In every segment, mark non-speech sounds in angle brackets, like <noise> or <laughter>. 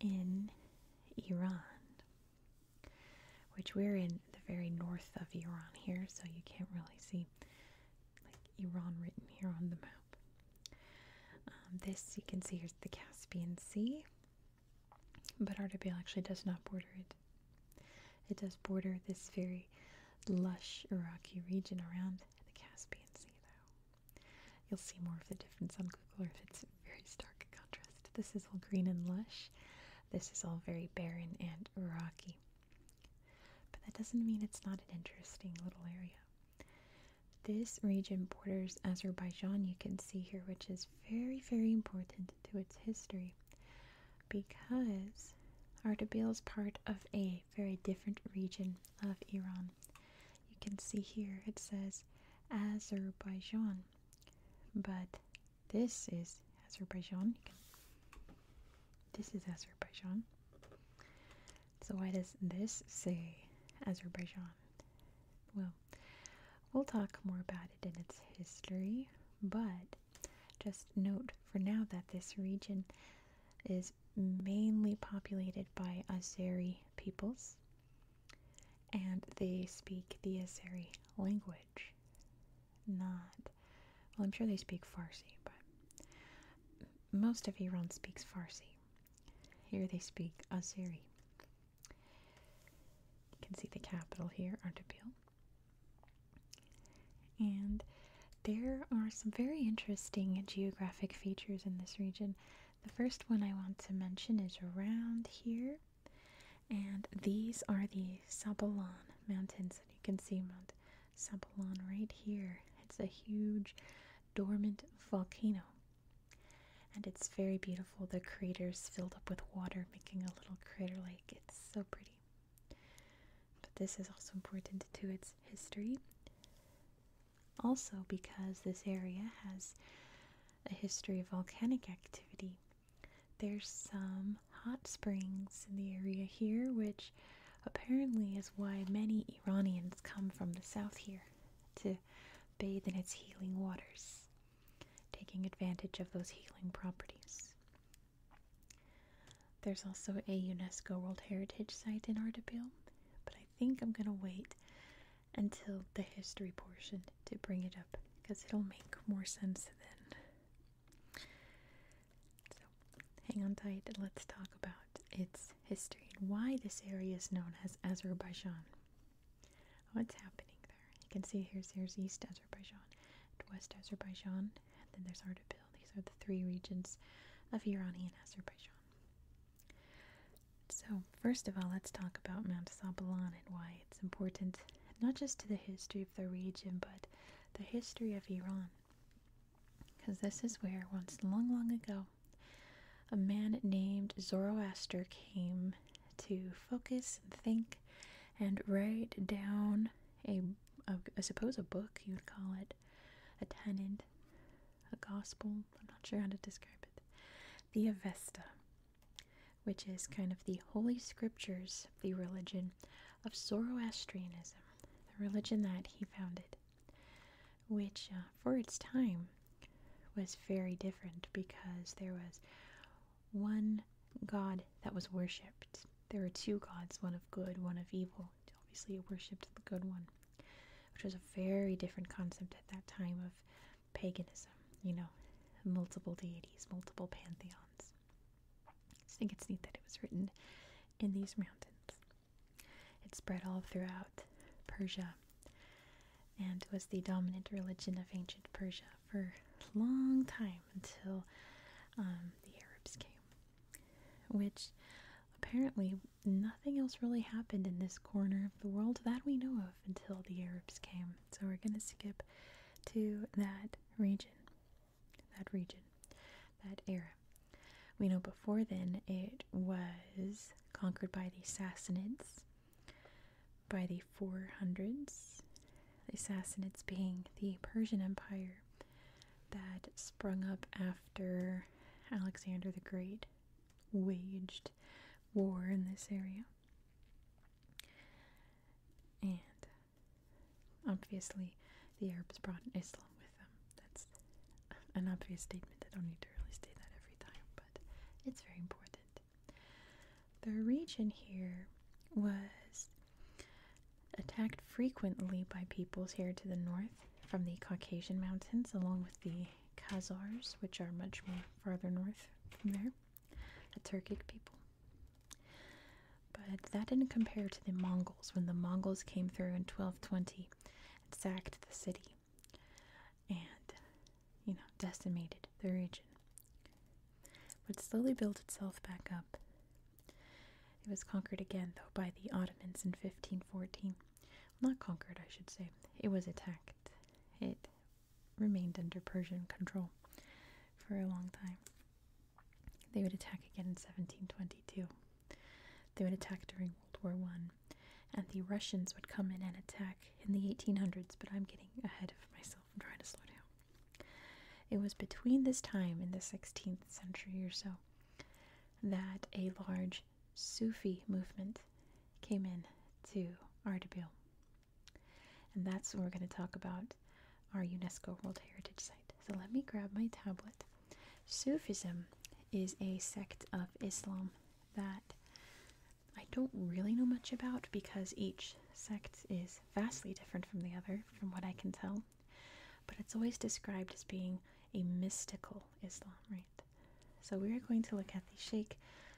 in Iran, which we're in the very north of Iran here, so you can't really see like Iran written here on the map. Um, this you can see here's the Caspian Sea, but Ardabil actually does not border it. It does border this very lush Iraqi region around the Caspian Sea, though. You'll see more of the difference on Google Earth. It's a very stark contrast. This is all green and lush. This is all very barren and rocky. But that doesn't mean it's not an interesting little area. This region borders Azerbaijan, you can see here, which is very, very important to its history because Ardabil is part of a very different region of Iran you can see here it says Azerbaijan, but this is Azerbaijan. this is Azerbaijan. So why does this say Azerbaijan? Well, we'll talk more about it in its history, but just note for now that this region is mainly populated by Azeri peoples, and they speak the Azeri language. Not, well, I'm sure they speak Farsi, but most of Iran speaks Farsi. Here they speak Azeri. You can see the capital here, Ardabil. And there are some very interesting geographic features in this region. The first one I want to mention is around here, and these are the Sabalan Mountains. And you can see Mount Sabalan right here. It's a huge dormant volcano, and it's very beautiful. The crater's filled up with water, making a little crater lake. It's so pretty. But this is also important to its history. Also, because this area has a history of volcanic activity, there's some hot springs in the area here, which apparently is why many Iranians come from the south here to bathe in its healing waters, taking advantage of those healing properties. There's also a UNESCO World Heritage Site in Ardabil, but I I think I'm gonna wait until the history portion to bring it up because it'll make more sense then. So hang on tight let's talk about its history and why this area is known as Azerbaijan. What's oh, happening there? You can see here's here's East Azerbaijan West Azerbaijan, and then there's Ardabil. These are the three regions of Iranian Azerbaijan. So, first of all, let's talk about Mount Sabalan and why it's important, not just to the history of the region, but the history of Iran. Because this is where, once long, long ago, a man named Zoroaster came to focus and think and write down ai suppose, a book, you'd call it, a tenet a gospel. I'm not sure how to describe it. The Avesta, which is kind of the holy scriptures, the religion of Zoroastrianism, the religion that he founded, which uh, for its time was very different because there was one god that was worshipped. There were two gods, one of good, one of evil. Obviously, it worshipped the good one which was a very different concept at that time of paganism, you know, multiple deities, multiple pantheons. I think it's neat that it was written in these mountains. It spread all throughout Persia and was the dominant religion of ancient Persia for a long time until um, the Arabs came, which apparently nothing else really happened in this corner of the world that we know of until the Arabs came. So we're going to skip to that region. That region. That era. We know before then it was conquered by the Sassanids by the 400s. The Sassanids being the Persian Empire that sprung up after Alexander the Great waged war in this area. And obviously, the Arabs brought Islam with them. That's an obvious statement. I don't need to really say that every time, but it's very important. The region here was attacked frequently by peoples here to the north from the Caucasian mountains, along with the Khazars, which are much more farther north from there, the Turkic people. But that didn't compare to the Mongols when the Mongols came through in 1220 and sacked the city and, you know, decimated the region. But slowly built itself back up. It was conquered again, though, by the Ottomans in 1514. Not conquered, I should say. It was attacked. It remained under Persian control for a long time. They would attack again in 1722. They would attack during World War One, and the Russians would come in and attack in the 1800s. But I'm getting ahead of myself. I'm trying to slow down. It was between this time in the 16th century or so that a large Sufi movement came in to Ardabil. And that's what we're going to talk about our UNESCO World Heritage Site. So let me grab my tablet. Sufism is a sect of Islam that I don't really know much about because each sect is vastly different from the other, from what I can tell. But it's always described as being a mystical Islam, right? So we are going to look at the Sheikh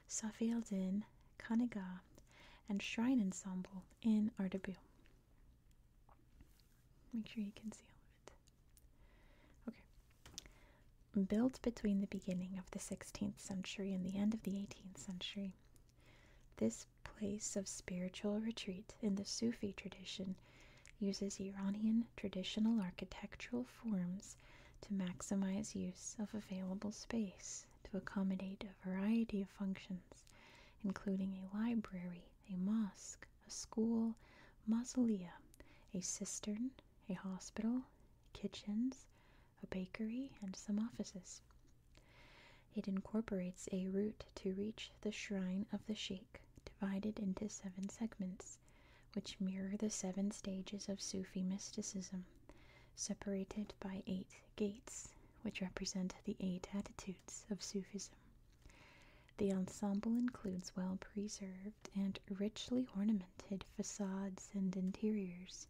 Safi al-Din Kaniga and Shrine Ensemble in Ardabil. Make sure you can see all of it. Okay. Built between the beginning of the 16th century and the end of the 18th century, this place of spiritual retreat in the Sufi tradition uses Iranian traditional architectural forms to maximize use of available space to accommodate a variety of functions, including a library, a mosque, a school, mausolea, a cistern, a hospital, kitchens, a bakery, and some offices. It incorporates a route to reach the shrine of the sheikh, divided into seven segments, which mirror the seven stages of Sufi mysticism, separated by eight gates, which represent the eight attitudes of Sufism. The ensemble includes well preserved and richly ornamented facades and interiors,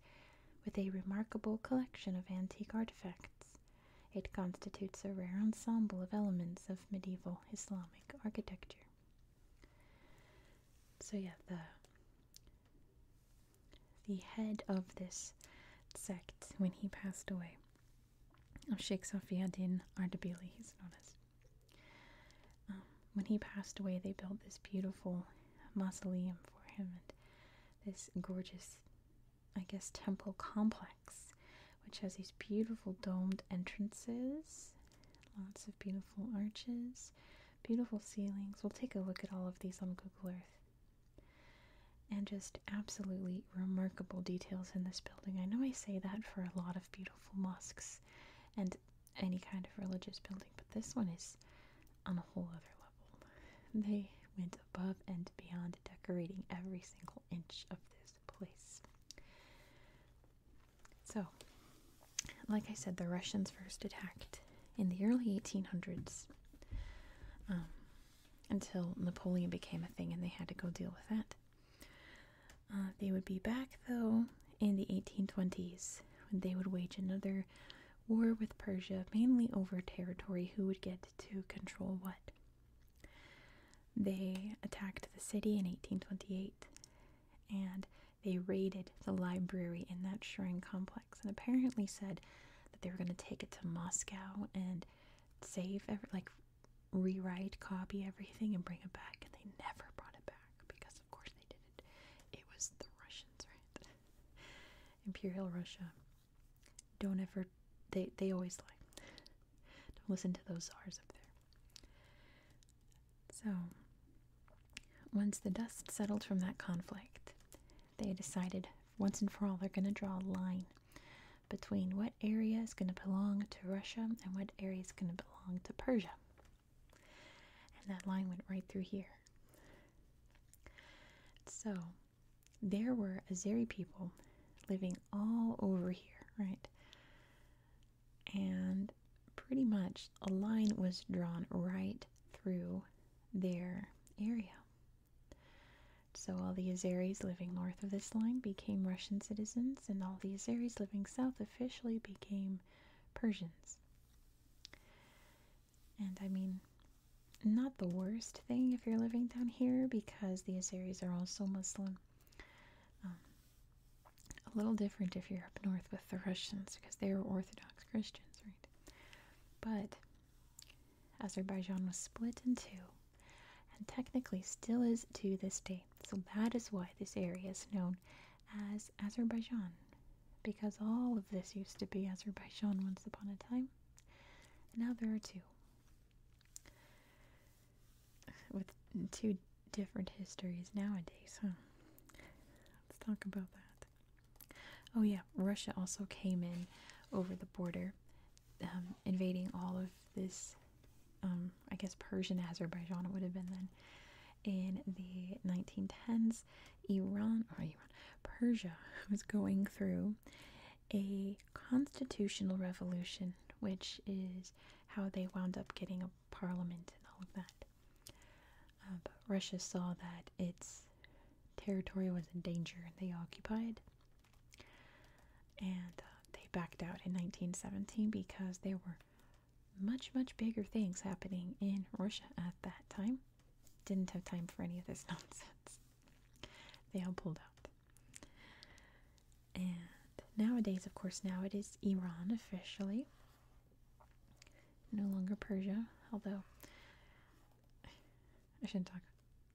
with a remarkable collection of antique artifacts. It constitutes a rare ensemble of elements of medieval Islamic architecture. So yeah, the the head of this sect when he passed away of Sheikh Safi Ardabili, he's known as. Um, when he passed away, they built this beautiful mausoleum for him and this gorgeous, I guess, temple complex, which has these beautiful domed entrances Lots of beautiful arches, beautiful ceilings. We'll take a look at all of these on Google Earth. And just absolutely remarkable details in this building. I know I say that for a lot of beautiful mosques and any kind of religious building, but this one is on a whole other level. They went above and beyond decorating every single inch of this place. So, like I said, the Russians first attacked in the early 1800s um, until Napoleon became a thing and they had to go deal with that. Uh, they would be back, though, in the 1820s when they would wage another war with Persia, mainly over territory who would get to control what. They attacked the city in 1828 and they raided the library in that Shrine complex and apparently said that they were going to take it to Moscow and save, like, rewrite, copy everything and bring it back. And they never brought it back because, of course, they didn't. It was the Russians, right? <laughs> Imperial Russia. Don't ever, they, they always lie. Don't listen to those czars up there. So, once the dust settled from that conflict, they decided once and for all they're going to draw a line between what area is going to belong to Russia and what area is going to belong to Persia. And that line went right through here. So, there were Azeri people living all over here, right? and pretty much a line was drawn right through their area. So all the Azeris living north of this line became Russian citizens, and all the Azeris living south officially became Persians. And I mean, not the worst thing if you're living down here because the Azeris are also Muslim. Um, a little different if you're up north with the Russians because they are Orthodox Christians, right? But Azerbaijan was split in two and technically still is to this day. So that is why this area is known as Azerbaijan because all of this used to be Azerbaijan once upon a time. And now there are two. With two different histories nowadays, huh? Let's talk about that. Oh, yeah, Russia also came in over the border, um, invading all of this, um, I guess Persian Azerbaijan, it would have been then. In the 1910s, Iran, or oh, Iran, Persia <laughs> was going through a constitutional revolution, which is how they wound up getting a parliament and all of that. Uh, but Russia saw that its territory was in danger and they occupied. And uh, they backed out in 1917 because there were much, much bigger things happening in Russia at that time. Didn't have time for any of this <laughs> nonsense. They all pulled out. And nowadays, of course, now it is Iran officially, no longer Persia. Although I shouldn't talk,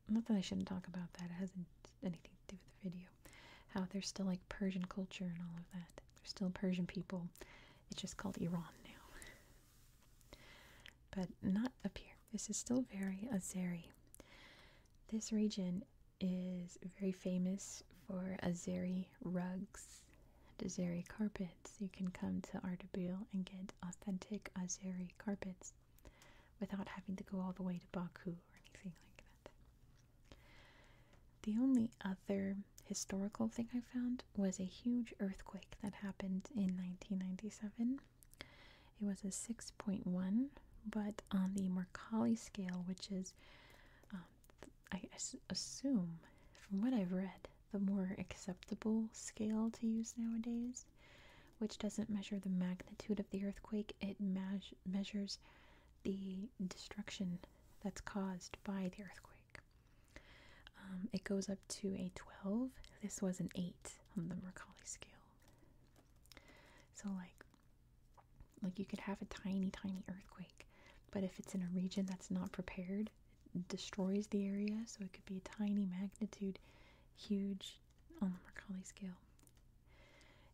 not that I shouldn't talk about that. It hasn't anything to do with the video. How there's still like Persian culture and all of that. There's still Persian people. It's just called Iran now. But not up here. This is still very Azeri. This region is very famous for Azeri rugs and Azeri carpets. You can come to Ardabil and get authentic Azeri carpets without having to go all the way to Baku or anything like that. The only other historical thing I found was a huge earthquake that happened in 1997. It was a 6.1, but on the Mercalli scale, which is um, I assume, from what I've read, the more acceptable scale to use nowadays, which doesn't measure the magnitude of the earthquake, it measures the destruction that's caused by the earthquake. Um, it goes up to a 12. This was an 8 on the Mercalli scale. So, like, like you could have a tiny, tiny earthquake, but if it's in a region that's not prepared, it destroys the area. So it could be a tiny magnitude, huge on the Mercalli scale.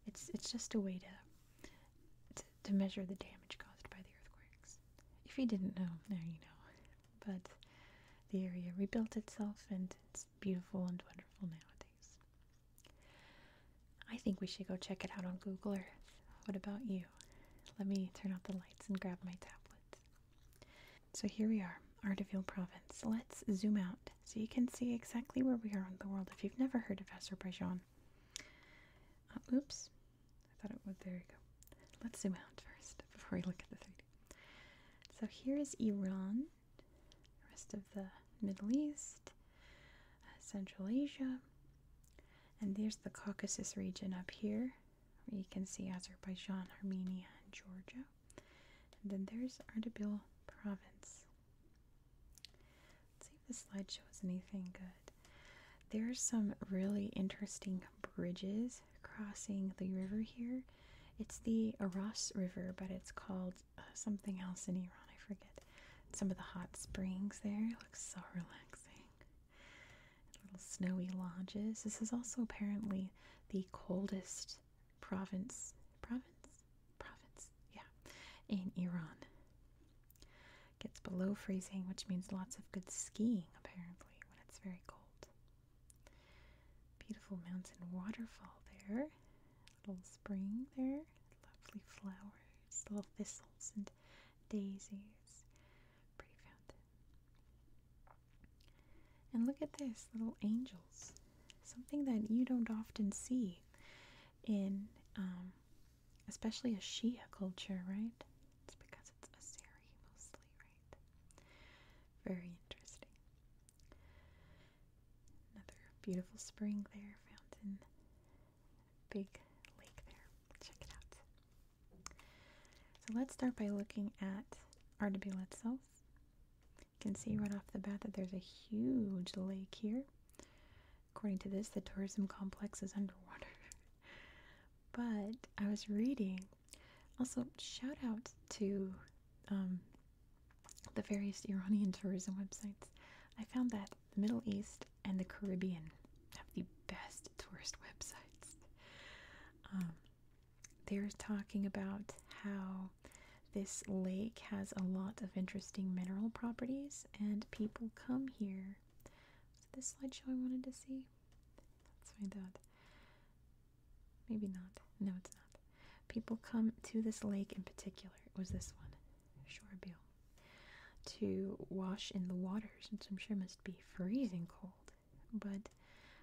It's it's just a way to, to measure the damage caused by the earthquakes. If you didn't know, there you know. But the area rebuilt itself, and it's beautiful and wonderful nowadays. I think we should go check it out on Google Earth. What about you? Let me turn out the lights and grab my tablet. So here we are, Ardabil province. Let's zoom out so you can see exactly where we are on the world if you've never heard of Azerbaijan. Uh, oops, I thought it would. There you go. Let's zoom out first before we look at the 3D. So here is Iran rest of the Middle East, uh, Central Asia. And there's the Caucasus region up here, where you can see Azerbaijan, Armenia, and Georgia. then there's Ardabil province. Let's see if the slide shows anything good. There's some really interesting bridges crossing the river here. It's the Aras River, but it's called uh, something else in Iran. I forget. Some of the hot springs there. It looks so <laughs> relaxing. little snowy lodges. This is also apparently the coldest province. Province? Province. Yeah. In Iran. Gets below freezing, which means lots of good skiing apparently when it's very cold. Beautiful mountain waterfall there little spring there. Lovely flowers, little thistles and daisies. Pretty fountain. And look at this little angels. Something that you don't often see in, um, especially a Shia culture, right? It's because it's Assyri mostly, right? Very interesting. Another beautiful spring there, fountain, big lake there. Check it out. So let's start by looking at Artabilla itself. You can see right off the bat that there's a huge lake here. According to this, the tourism complex is underwater. <laughs> but I was reading. Also, shout out to um, the various Iranian tourism websites, I found that the Middle East and the Caribbean have the best tourist <laughs> websites. Um, they're talking about how this lake has a lot of interesting mineral properties and people come here. Was this slideshow I wanted to see? That's us find out. Maybe not. No, it's not. People come to this lake in particular, it was this one, Shoreville, to wash in the waters, which I'm sure must be freezing cold. But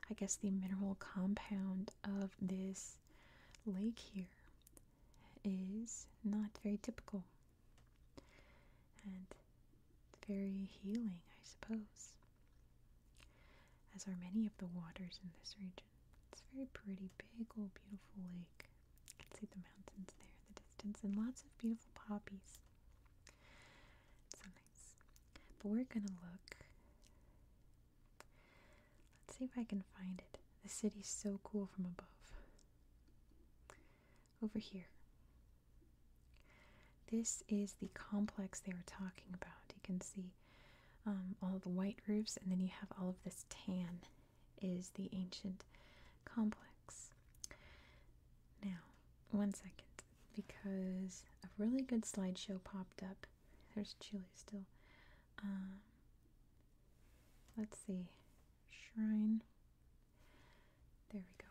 I guess the mineral compound of this lake here is not very typical and very healing, I suppose, as are many of the waters in this region. It's a very pretty, big old beautiful lake. You can see the mountains there in the distance and lots of beautiful poppies. so nice. But we're gonna look. Let's see if I can find it. The city's so cool from above. Over here. This is the complex they were talking about. You can see um, all the white roofs, and then you have all of this tan is the ancient complex. Now, one second, because a really good slideshow popped up. There's chili still. Um, let's see. Shrine. There we go.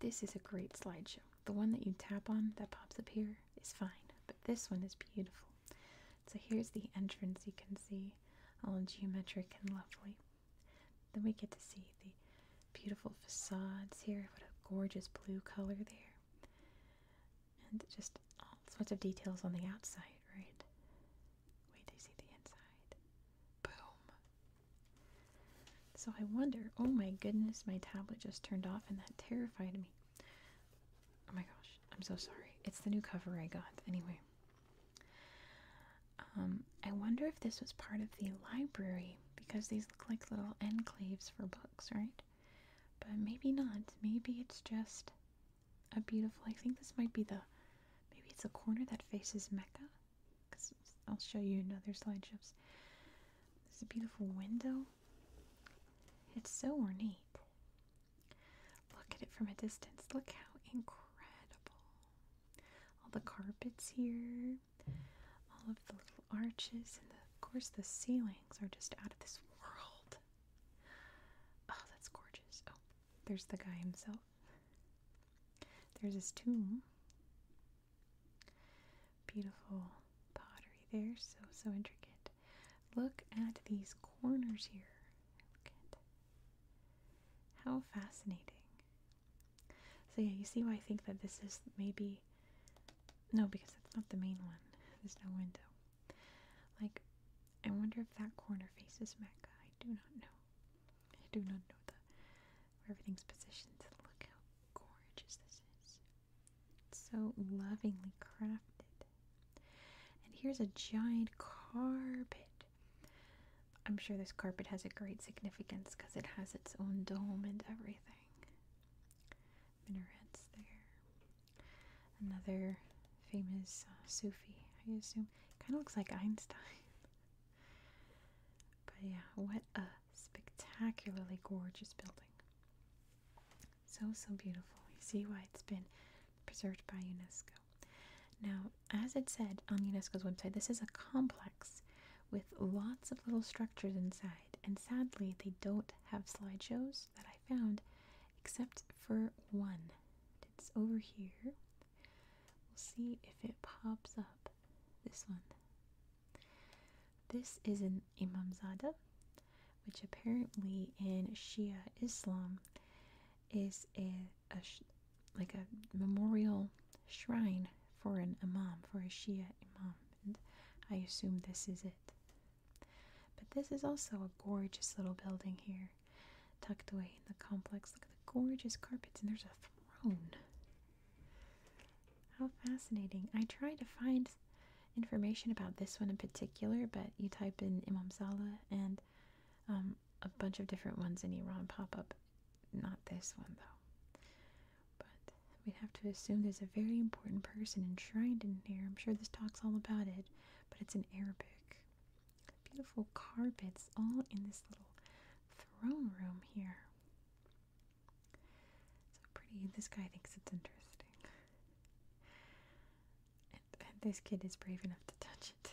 This is a great slideshow. The one that you tap on that pops up here is fine, but this one is beautiful. So here's the entrance you can see, all geometric and lovely. Then we get to see the beautiful facades here. What a gorgeous blue color there. And just all sorts of details on the outside, right? Wait till see the inside. Boom. So I wonder, oh my goodness, my tablet just turned off and that terrified me. Oh my gosh, I'm so sorry. It's the new cover I got. Anyway, um, I wonder if this was part of the library because these look like little enclaves for books, right? But maybe not. Maybe it's just a beautiful. I think this might be the. Maybe it's a corner that faces Mecca. Because I'll show you another slideshows. There's a beautiful window. It's so ornate. Look at it from a distance. Look how incredible. All the carpets here, all of the little arches, and of course the ceilings are just out of this world. Oh, that's gorgeous. Oh, there's the guy himself. There's this tomb. Beautiful pottery there, so, so intricate. Look at these corners here. how fascinating. So yeah, you see why I think that this is maybe no, because that's not the main one. There's no window. Like, I wonder if that corner faces Mecca. I do not know. I do not know the everything's positioned. Look how gorgeous this is. So lovingly crafted. And here's a giant carpet. I'm sure this carpet has a great significance because it has its own dome and everything. Minarets there. Another famous uh, Sufi, I assume. Kind of looks like Einstein. <laughs> but yeah, what a spectacularly gorgeous building. So, so beautiful. You see why it's been preserved by UNESCO. Now, as it said on UNESCO's website, this is a complex with lots of little structures inside, and sadly, they don't have slideshows that I found except for one. It's over here. We'll see if it pops up. This one. This is an Imam Zada which apparently in Shia Islam is a, like a memorial shrine for an imam, for a Shia imam. And I assume this is it. But this is also a gorgeous little building here, tucked away in the complex. Look at the gorgeous carpets, and there's a throne. How fascinating. I try to find information about this one in particular, but you type in Imam Salah and um, a bunch of different ones in Iran pop up. Not this one though. But we'd have to assume there's a very important person enshrined in here. I'm sure this talk's all about it, but it's in Arabic. Beautiful carpets all in this little throne room here. So pretty. This guy thinks it's interesting this kid is brave enough to touch it.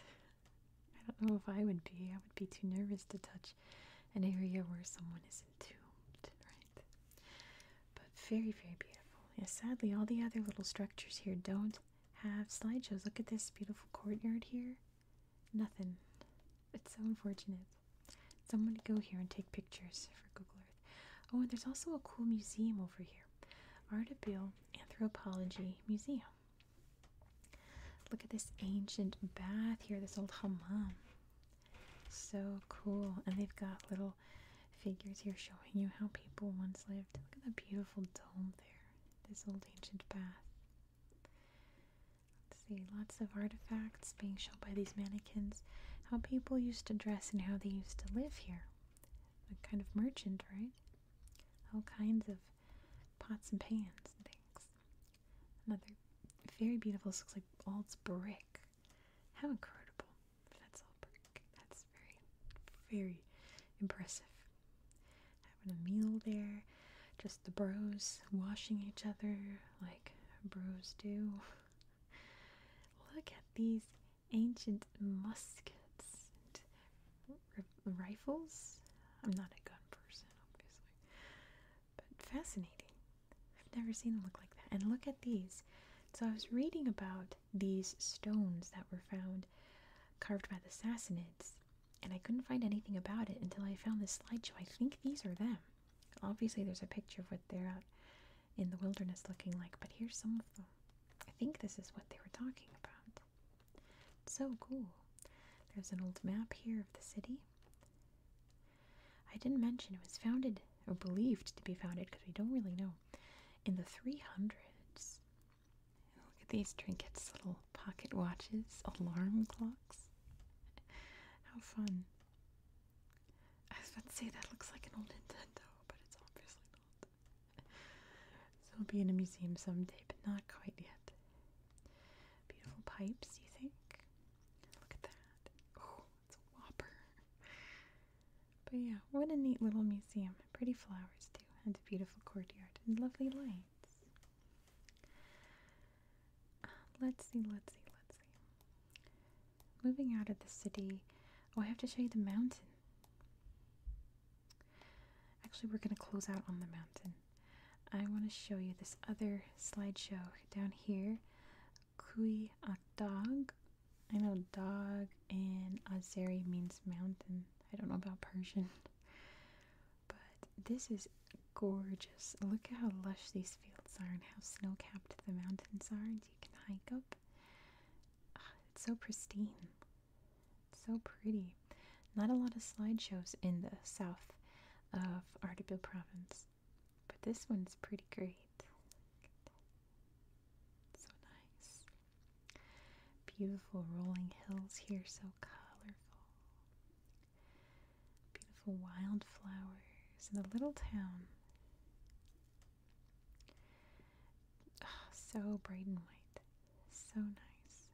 I don't know if I would be. I would be too nervous to touch an area where someone is entombed, right? But very, very beautiful. Yeah, sadly, all the other little structures here don't have slideshows. Look at this beautiful courtyard here. Nothing. It's so unfortunate. Someone to go here and take pictures for Google Earth. Oh, and there's also a cool museum over here Ardabil Anthropology Museum. Look at this ancient bath here, this old hammam. So cool. And they've got little figures here showing you how people once lived. Look at the beautiful dome there, this old ancient bath. see, lots of artifacts being shown by these mannequins, how people used to dress and how they used to live here a kind of merchant, right? All kinds of pots and pans and things. Another very beautiful, this looks like all it's brick. How incredible. That's all brick. That's very, very impressive. Having a meal there, just the bros washing each other like bros do. <laughs> Look at these ancient muskets and rifles. I'm not a gun person, obviously, but fascinating. I've never seen them look like that. And look at these. So I was reading about these stones that were found carved by the Sassanids, and I couldn't find anything about it until I found this slideshow. I think these are them. Obviously, there's a picture of what they're at in the wilderness looking like, but here's some of them. I think this is what they were talking about. so cool. There's an old map here of the city. I didn't mention it was founded, or believed to be founded, because we don't really know, in the 300s. look at these trinkets, little pocket watches, alarm clocks. <laughs> How fun. I was about to say that looks like an old Nintendo, but it's obviously not. so <laughs> it'll be in a museum someday, but not quite yet. Beautiful pipes, you think? Look at that. Oh, it's a whopper. <laughs> But yeah, what a neat little museum. Pretty flowers too, and a beautiful courtyard, and lovely lights. Uh, let's see, let's see, let's see. Moving out of the city, oh, I have to show you the mountain. Actually, we're going to close out on the mountain. I want to show you this other slideshow down here. Kui Akdag. I know dog in Azeri means mountain. I don't know about Persian. But this is gorgeous. Look at how lush these fields are and how snow capped the mountains are, and you can hike up it's so pristine. so pretty. Not a lot of slideshows in the south of Artibil province, but this one's pretty great. So nice. Beautiful rolling hills here, so colorful. Beautiful wildflowers and a little town. <sighs> so bright and white. So nice.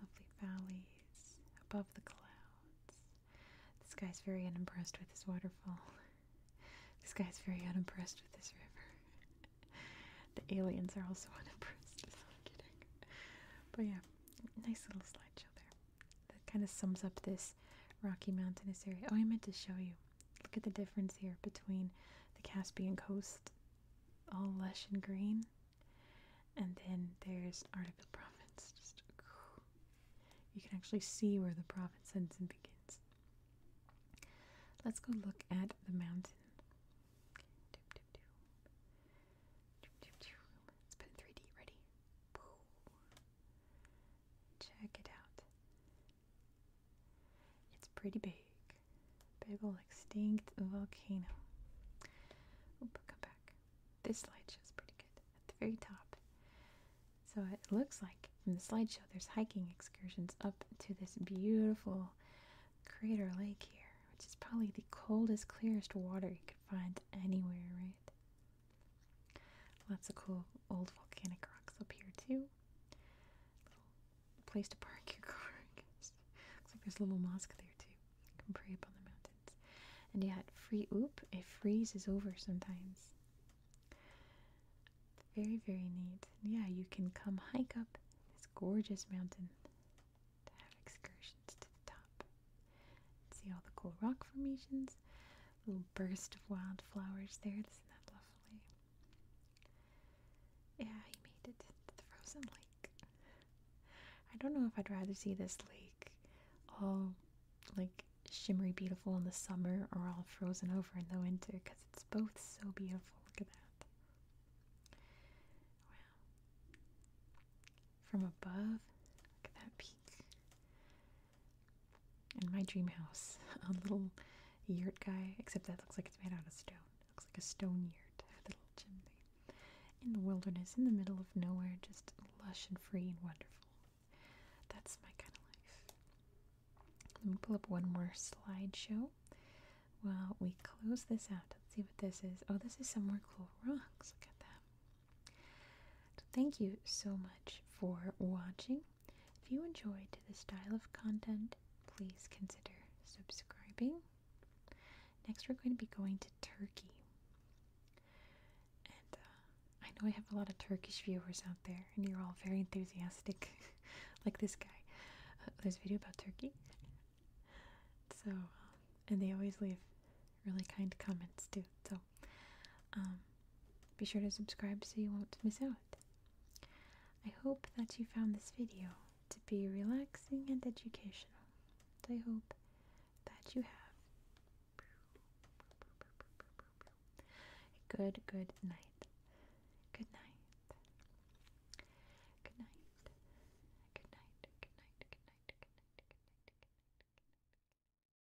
Lovely valleys above the clouds. This guy's very unimpressed with this waterfall. <laughs> This guy's very unimpressed with this river. <laughs> the aliens are also <laughs> unimpressed. But yeah, nice little slideshow there. That kind of sums up this rocky mountainous area. Oh, I meant to show you. Look at the difference here between the Caspian coast, all lush and green, and then there's Ardabil province. you can actually see where the province ends and begins. Let's go look at the mountain. Let's put in 3D. Ready? Check it out. It's pretty big. Big old extinct volcano. Oop, come back. This slideshow is pretty good at the very top. So it looks like in the slideshow there's hiking excursions up to this beautiful crater lake here, which is probably the coldest, clearest water you could find anywhere, right? Lots of cool old volcanic rocks up here too. Little place to park your car, Looks like there's a little mosque there too. You can pray up on the mountains. And yeah, free oop, it freezes over sometimes. It's very, very neat. yeah, you can come hike up this gorgeous mountain to have excursions to the top. See all the cool rock formations little burst of wildflowers there. Isn't that lovely? Yeah, he made it to the frozen lake. I don't know if I'd rather see this lake all like shimmery beautiful in the summer or all frozen over in the winter because it's both so beautiful. Look at that. Wow. From above, look at that peak in my dream house, <laughs> a little yurt guy, except that looks like it's made out of stone. looks like a stone yurt, little chimney. In the wilderness, in the middle of nowhere, just lush and free and wonderful. That's my kind of life. Let me pull up one more slideshow while we close this out. Let's see what this is. Oh, this is some more cool rocks. Look at that thank you so much for watching. If you enjoyed the style of content, please consider subscribing. Next, we're going to be going to Turkey. Uh, I know I have a lot of Turkish viewers out there, and you're all very enthusiastic, <laughs> like this guy. Uh, there's a video about Turkey. So, and they always leave really kind comments too. So, um, be sure to subscribe so you won't miss out. I hope that you found this video to be relaxing and educational. I hope that you have a good, good night. Good night. Good night. Good night. Good night. Good night. Good night. Good night. Good night. Good night.